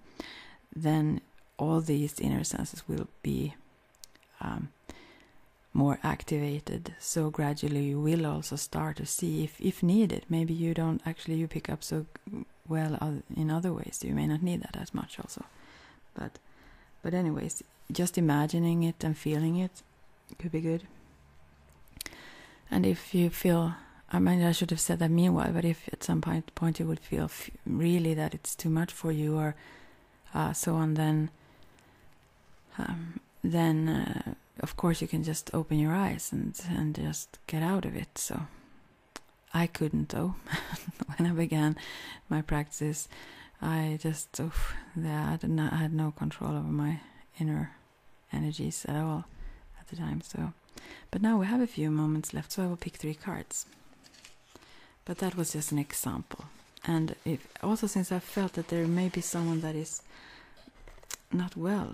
Speaker 1: then all these inner senses will be um, more activated so gradually you will also start to see if if needed maybe you don't actually you pick up so well in other ways you may not need that as much also but but, anyways, just imagining it and feeling it could be good. And if you feel, I mean, I should have said that meanwhile, but if at some point, point you would feel really that it's too much for you or uh, so on, then, um, then uh, of course you can just open your eyes and, and just get out of it. So I couldn't though. when I began my practice, I just oh, I did not I had no control over my inner energies at all at the time. So, but now we have a few moments left, so I will pick three cards. But that was just an example, and if, also since I felt that there may be someone that is not well,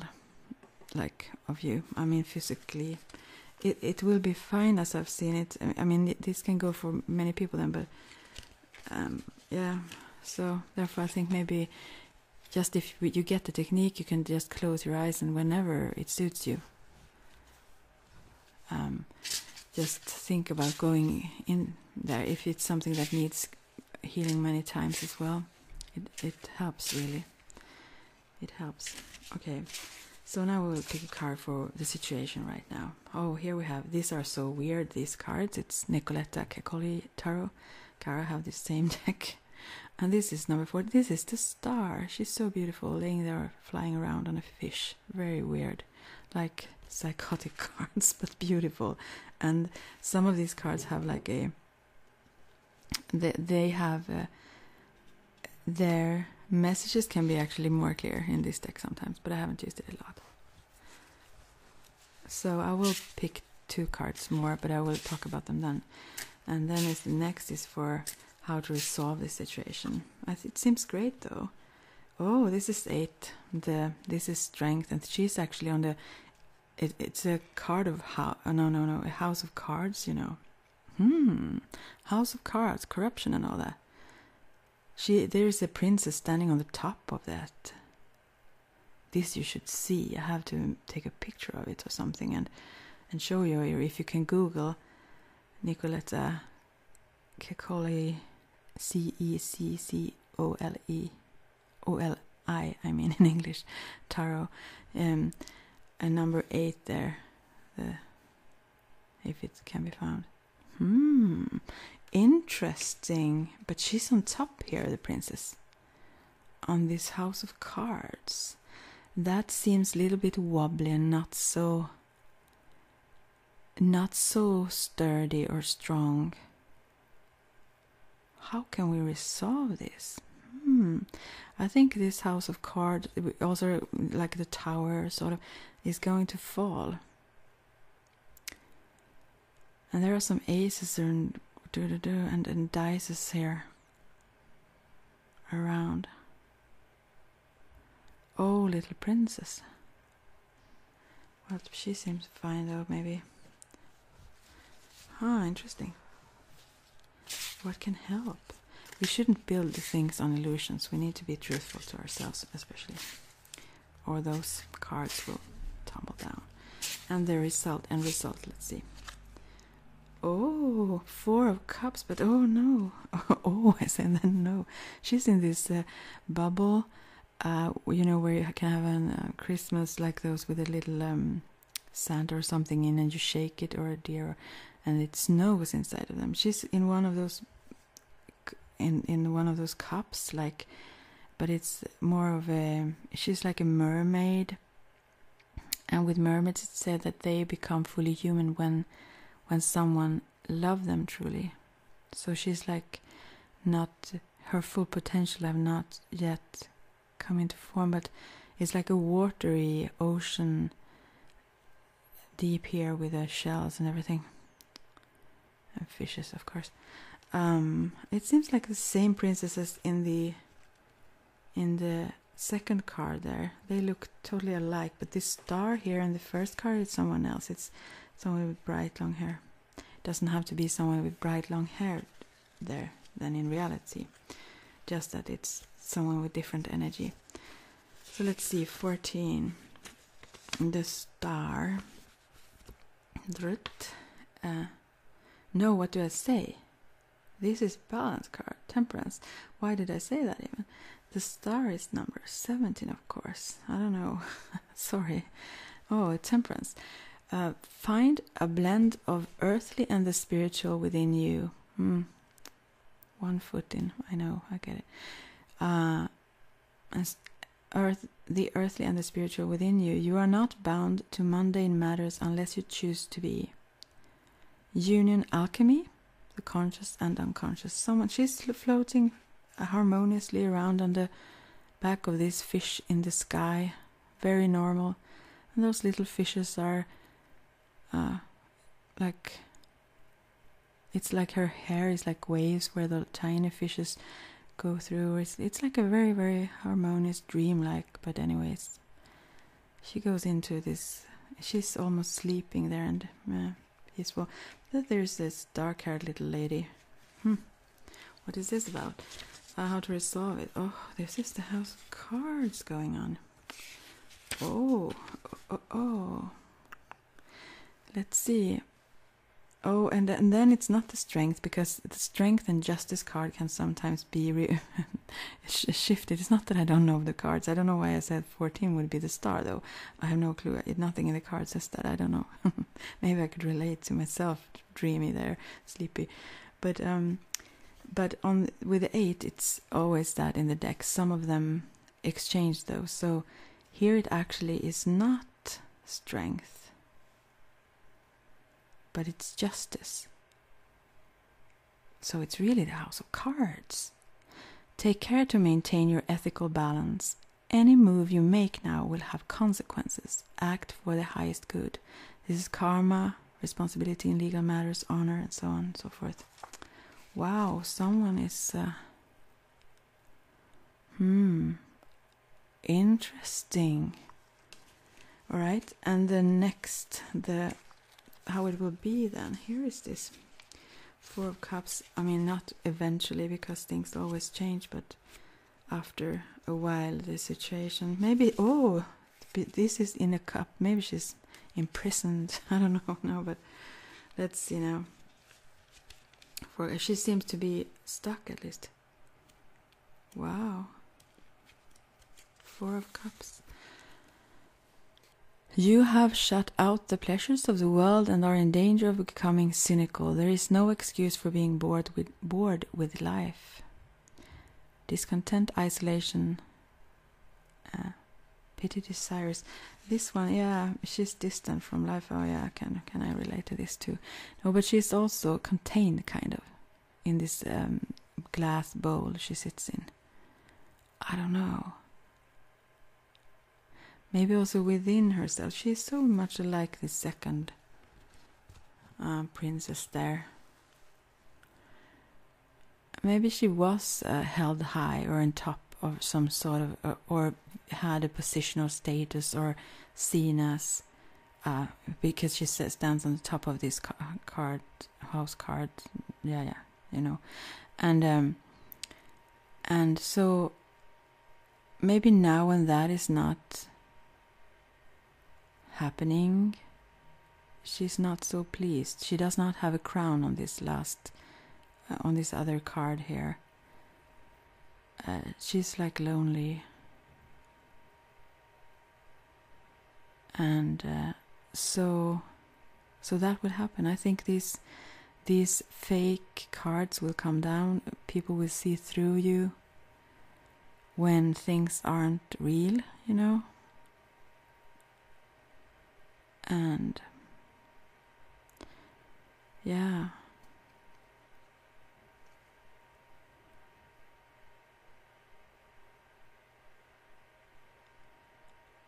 Speaker 1: like of you. I mean physically it it will be fine as I've seen it. I mean, this can go for many people then, but um, yeah. So therefore, I think maybe just if you get the technique, you can just close your eyes and whenever it suits you, um, just think about going in there. If it's something that needs healing many times as well, it it helps really. It helps. Okay, so now we'll pick a card for the situation right now. Oh, here we have. These are so weird. These cards. It's Nicoletta Cecoli Tarot. Cara have the same deck, and this is number four. This is the star. She's so beautiful, laying there, flying around on a fish. Very weird, like psychotic cards, but beautiful. And some of these cards have like a. They have their messages can be actually more clear in this deck sometimes, but I haven't used it a lot. So I will pick two cards more, but I will talk about them then. And then is the next is for how to resolve this situation. It seems great though. Oh, this is eight. The this is strength, and she is actually on the. it's a card of how? Oh, no, no, no, a house of cards. You know, hmm, house of cards, corruption and all that. She, there is a princess standing on the top of that. This you should see. I have to take a picture of it or something and and show you If you can Google Nicoletta Kekoli, C E C C O L E O L I. I mean in English, Taro, um, and number eight there. if it can be found. Hmm, interesting. But she's on top here, the princess. On this house of cards. That seems a little bit wobbly and not so. Not so sturdy or strong. How can we resolve this? Hmm. I think this house of cards, also like the tower, sort of, is going to fall. And there are some aces and do do do and, and dices here around. Oh, little princess. Well, she seems fine though, maybe. Ah, interesting. What can help? We should not build things on illusions. We need to be truthful to ourselves, especially, or those cards will tumble down. And the result and result. Let's see. Oh, four of cups, but oh no! Oh, I said then no. She's in this uh, bubble, uh, you know, where you can have a uh, Christmas like those with a little um, sand or something in, and you shake it or a deer, and it snows inside of them. She's in one of those in in one of those cups like but it's more of a she's like a mermaid and with mermaids it's said that they become fully human when when someone loves them truly so she's like not her full potential have not yet come into form but it's like a watery ocean deep here with the shells and everything. And fishes, of course. Um, it seems like the same princesses in the in the second card there. They look totally alike, but this star here in the first card is someone else. It's someone with bright long hair. It doesn't have to be someone with bright long hair there than in reality. Just that it's someone with different energy. So let's see, 14. The star. Drut. Uh, no, what do I say? This is balance card, temperance. Why did I say that even? The star is number 17, of course. I don't know. Sorry. Oh, temperance. Uh, find a blend of earthly and the spiritual within you. Mm. One foot in. I know. I get it. Uh, as the earthly and the spiritual within you, you are not bound to mundane matters unless you choose to be. Union alchemy, the conscious and unconscious. Someone she's floating harmoniously around on the back of this fish in the sky, very normal. And those little fishes are uh, like it's like her hair is like waves where the tiny fishes go through. It's, it's like a very, very harmonious, dreamlike. But, anyways, she goes into this. She's almost sleeping there and peaceful. But there's this dark haired little lady. Hmm. What is this about? how to resolve it? Oh, this is the house of cards going on. Oh, oh, oh. oh. Let's see. Oh, and, and then it's not the strength because the strength and justice card can sometimes be shifted. It's not that I don't know the cards. I don't know why I said 14 would be the star though. I have no clue. Nothing in the cards, says that. I don't know. Maybe I could relate to myself, dreamy there, sleepy. But um, but on with the eight, it's always that in the deck. Some of them exchange though, so here it actually is not strength, but it's justice. So it's really the house of cards. Take care to maintain your ethical balance. Any move you make now will have consequences. Act for the highest good. This is karma, responsibility in legal matters, honor, and so on and so forth. Wow, someone is uh, Hmm. Interesting. All right, and the next, the how it will be then. Here is this Four of Cups. I mean, not eventually because things always change, but after a while, the situation. Maybe, oh, this is in a cup. Maybe she's imprisoned. I don't know, no, but that's, you know, for she seems to be stuck at least. Wow. Four of Cups. You have shut out the pleasures of the world and are in danger of becoming cynical. There is no excuse for being bored with, bored with life. Discontent, isolation, uh, pity, desires. This one, yeah, she's distant from life. Oh yeah, can can I relate to this too? No, but she's also contained, kind of, in this um, glass bowl she sits in. I don't know. Maybe also within herself, she's so much like the second uh, princess there. Maybe she was uh, held high or on top of some sort of, uh, or had a positional status or seen as uh, because she stands on the top of this card house card yeah yeah you know and um, and so maybe now when that is not happening she's not so pleased she does not have a crown on this last uh, on this other card here uh, she's like lonely and uh, so so that will happen i think these these fake cards will come down people will see through you when things aren't real you know and yeah.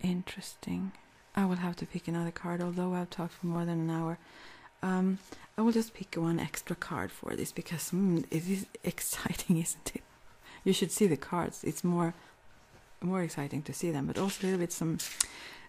Speaker 1: Interesting. I will have to pick another card, although I've talked for more than an hour. Um, I will just pick one extra card for this because hmm, it is exciting, isn't it? You should see the cards. It's more, more exciting to see them, but also a little bit some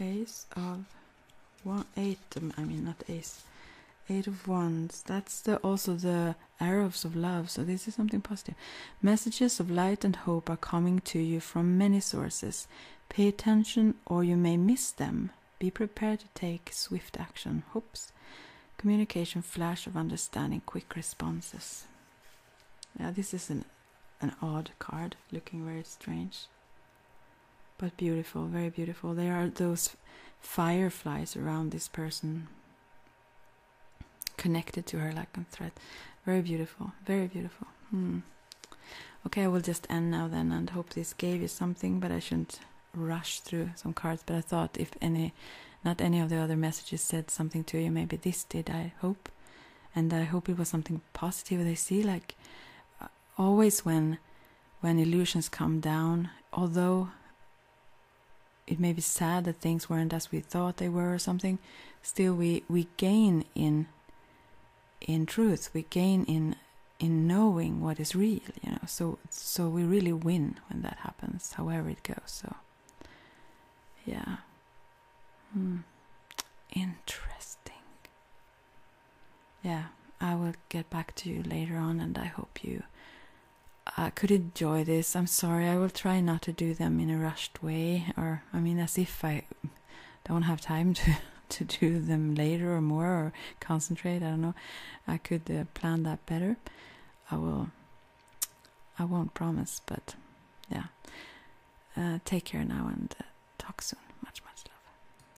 Speaker 1: ace of one eight um, i mean not ace eight of ones. that's the, also the arrows of love so this is something positive messages of light and hope are coming to you from many sources pay attention or you may miss them be prepared to take swift action hopes communication flash of understanding quick responses Now this is an an odd card looking very strange but beautiful, very beautiful. There are those fireflies around this person, connected to her like a thread. Very beautiful, very beautiful. Hmm. Okay, I will just end now then and hope this gave you something, but I shouldn't rush through some cards. But I thought if any, not any of the other messages said something to you, maybe this did, I hope. And I hope it was something positive. They see, like, always when when illusions come down, although it may be sad that things weren't as we thought they were or something, still we, we gain in in truth, we gain in in knowing what is real, you know. So so we really win when that happens, however it goes. So yeah. Hmm. Interesting yeah, I will get back to you later on, and I hope you uh, could enjoy this. I'm sorry, I will try not to do them in a rushed way, or I mean, as if I don't have time to to do them later or more or concentrate. I don't know. I could uh, plan that better. I will. I won't promise, but yeah. Uh, take care now and talk soon. Much, much love.